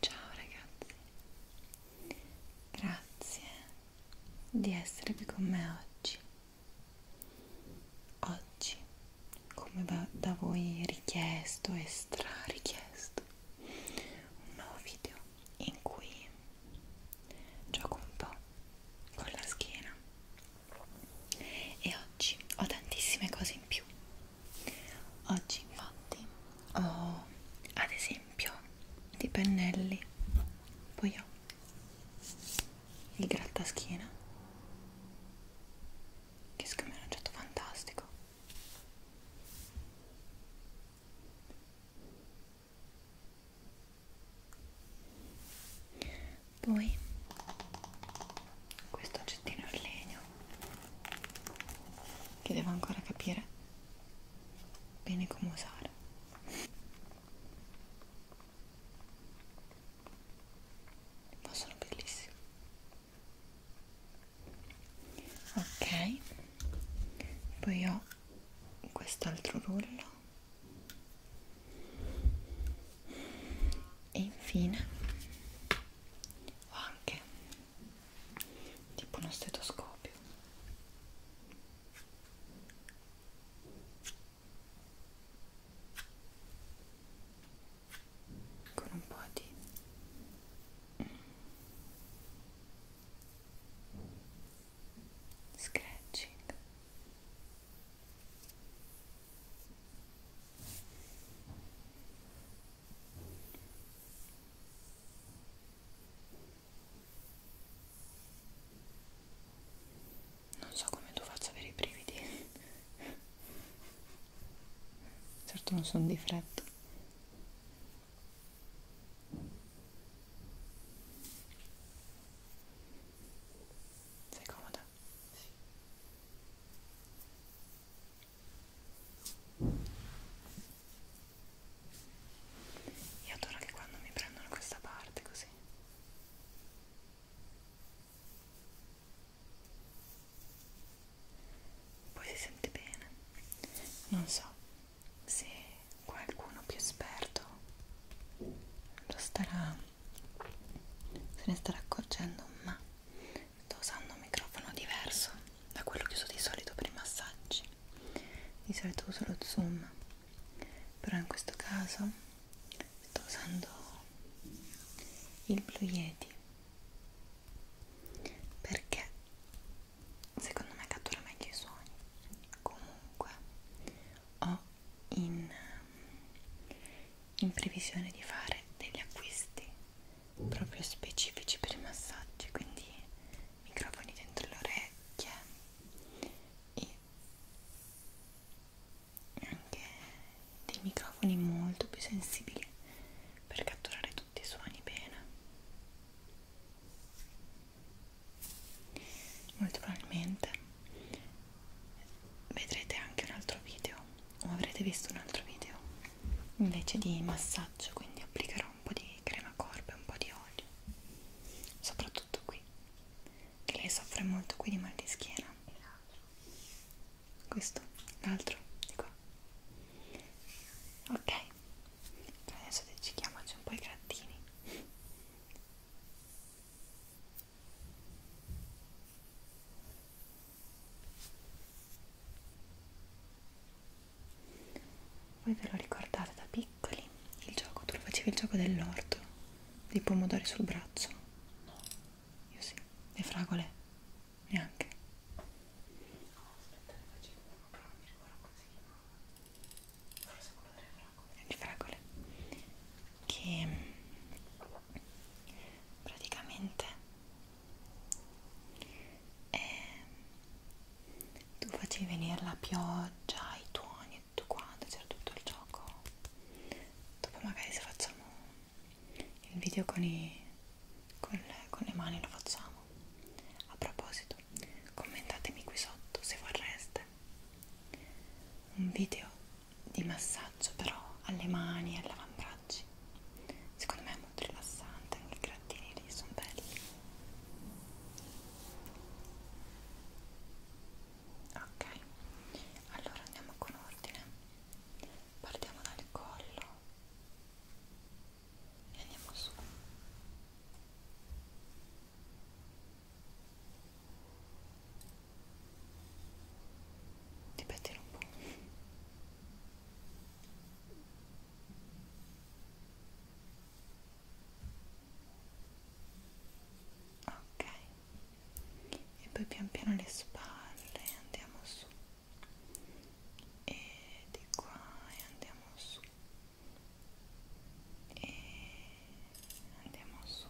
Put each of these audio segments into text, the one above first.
Ciao ragazzi, grazie di essere qui con me oggi. Oggi, come da, da voi richiesto e strarichiesto, un nuovo video in cui gioco un po' con la schiena e oggi ho tantissime cose in più oggi infatti ho ad esempio dei pennelli poi ho il grattaschiena che secondo me è un oggetto fantastico poi questo oggettino in legno che devo ancora capire bene come usare ma sono bellissimi ok poi ho quest'altro rullo e infine ho anche tipo uno stetoscopio con un po' di scratching non so come tu faccia avere i brividi certo non sono di fretta sei comoda? Sì. Io adoro che quando mi prendono questa parte così. Poi si sente bene. Non so, se qualcuno più esperto lo starà se ne starà accorgendo ma sto usando un microfono diverso da quello che uso di solito per i massaggi di solito uso lo zoom però in questo caso sto usando il Blue Yeti perché secondo me cattura meglio i suoni comunque ho in, in previsione di fare degli acquisti proprio specifici per i massaggi quindi microfoni dentro le orecchie e anche dei microfoni molto più sensibili per catturare tutti i suoni bene molto probabilmente vedrete anche un altro video o avrete visto un altro video invece di massaggio quindi applicherò un po' di crema corpo e un po' di olio soprattutto qui che lei soffre molto qui di mal di schiena questo, l'altro, di qua ok adesso decidiamoci un po' i grattini voi ve lo ricordate da piccoli il gioco tu facevi il gioco dell'orto dei pomodori sul braccio io sì le fragole neanche No, aspetta, ne facevo uno, però non mi ricordo così. Forse quello delle fragole. Le fragole. Che praticamente eh, tu facevi venire la pioggia, i tuoni e tutto quanto, c'era tutto il gioco. Dopo magari se facciamo il video con i con le, con le mani lo facciamo a proposito commentatemi qui sotto se vorreste un video di massaggio però alle mani e all'avambracci secondo me è molto rilassante anche i grattini lì sono belli ok allora andiamo con ordine partiamo dal collo e andiamo su ripetilo un po' ok e poi pian piano le spalle andiamo su e di qua e andiamo su e andiamo su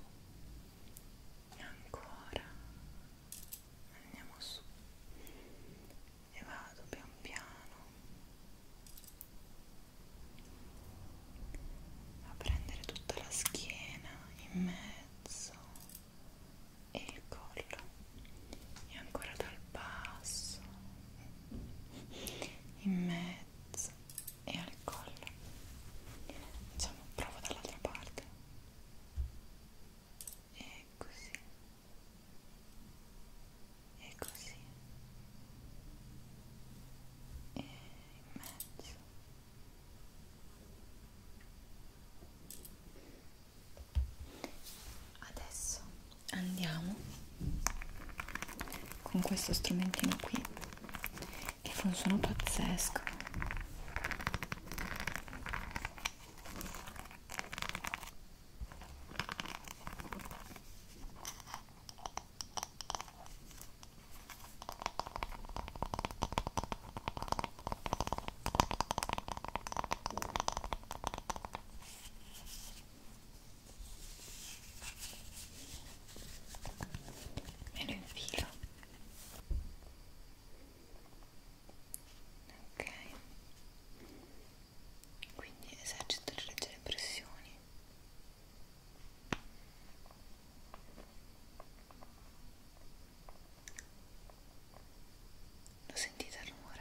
e ancora andiamo su e vado pian piano a prendere tutta la schiena in mezzo e il collo e ancora dal basso in mezzo e al collo diciamo provo dall'altra parte e così e così e in mezzo adesso andiamo con questo strumentino qui che fa un suono pazzesco me lo infilo ok quindi esercito le leggere pressioni lo sentite il rumore?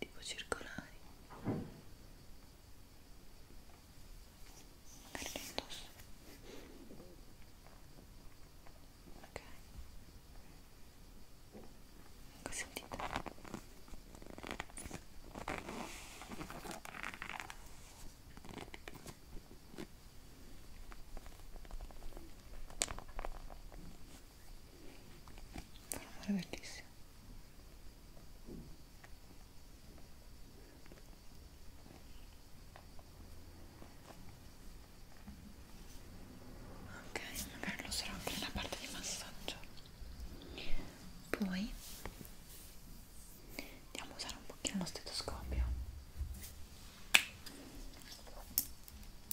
tipo circolari carne indosso ok ecco sentite ok un rumore bellissimo ok magari lo userò anche nella parte di massaggio poi andiamo a usare un pochino lo stetoscopio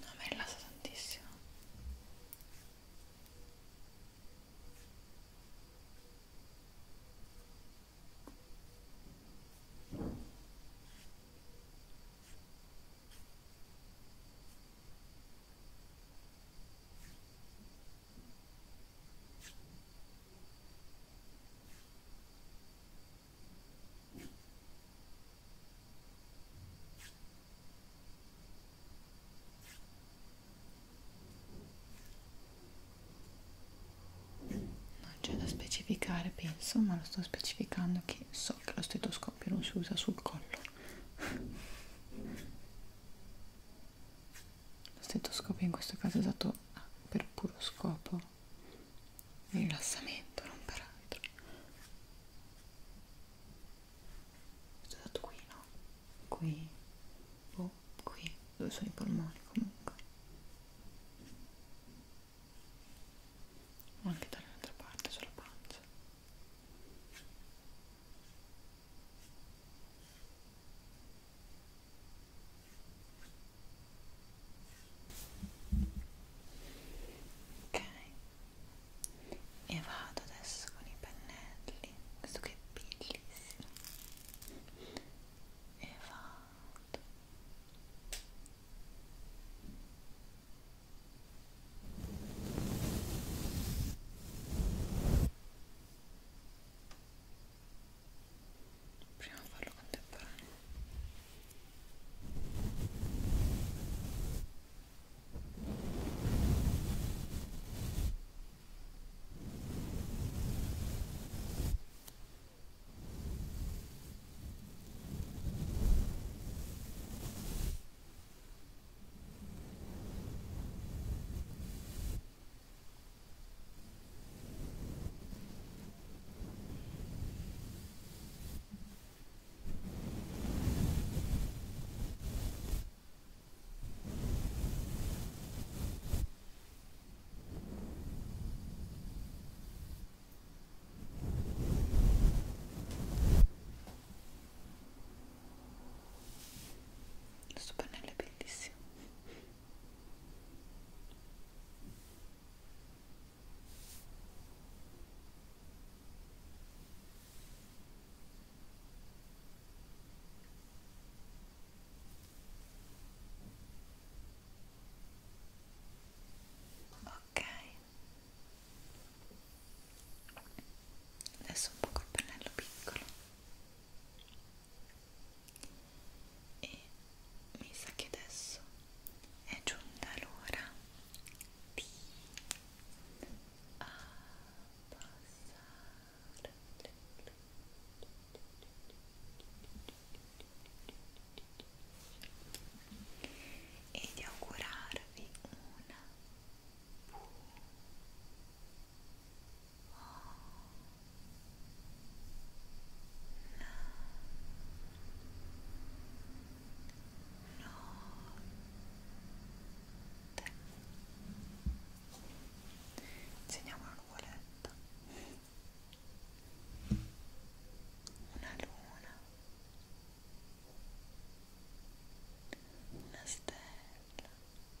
No, mi rilassa tantissimo. Non c'è da specificare, penso, ma lo sto specificando che so che lo stetoscopio non si usa sul collo. Lo stetoscopio in questo caso è usato per puro scopo di rilassamento, non per altro. Questo è usato qui, no? Qui, boh, qui, dove sono i polmoni comunque. O anche dall'altra parte, sulla pancia ok e vado adesso con i pennelli questo che è bellissimo e vado ok prima farlo contemporaneo Ora questo pannello è bellissimo Ok, adesso un po' col pennello piccolo e mi sa che adesso è giunta l'ora di abbassare e di augurarvi una buona Segniamo una nuvoletta, una luna, una stella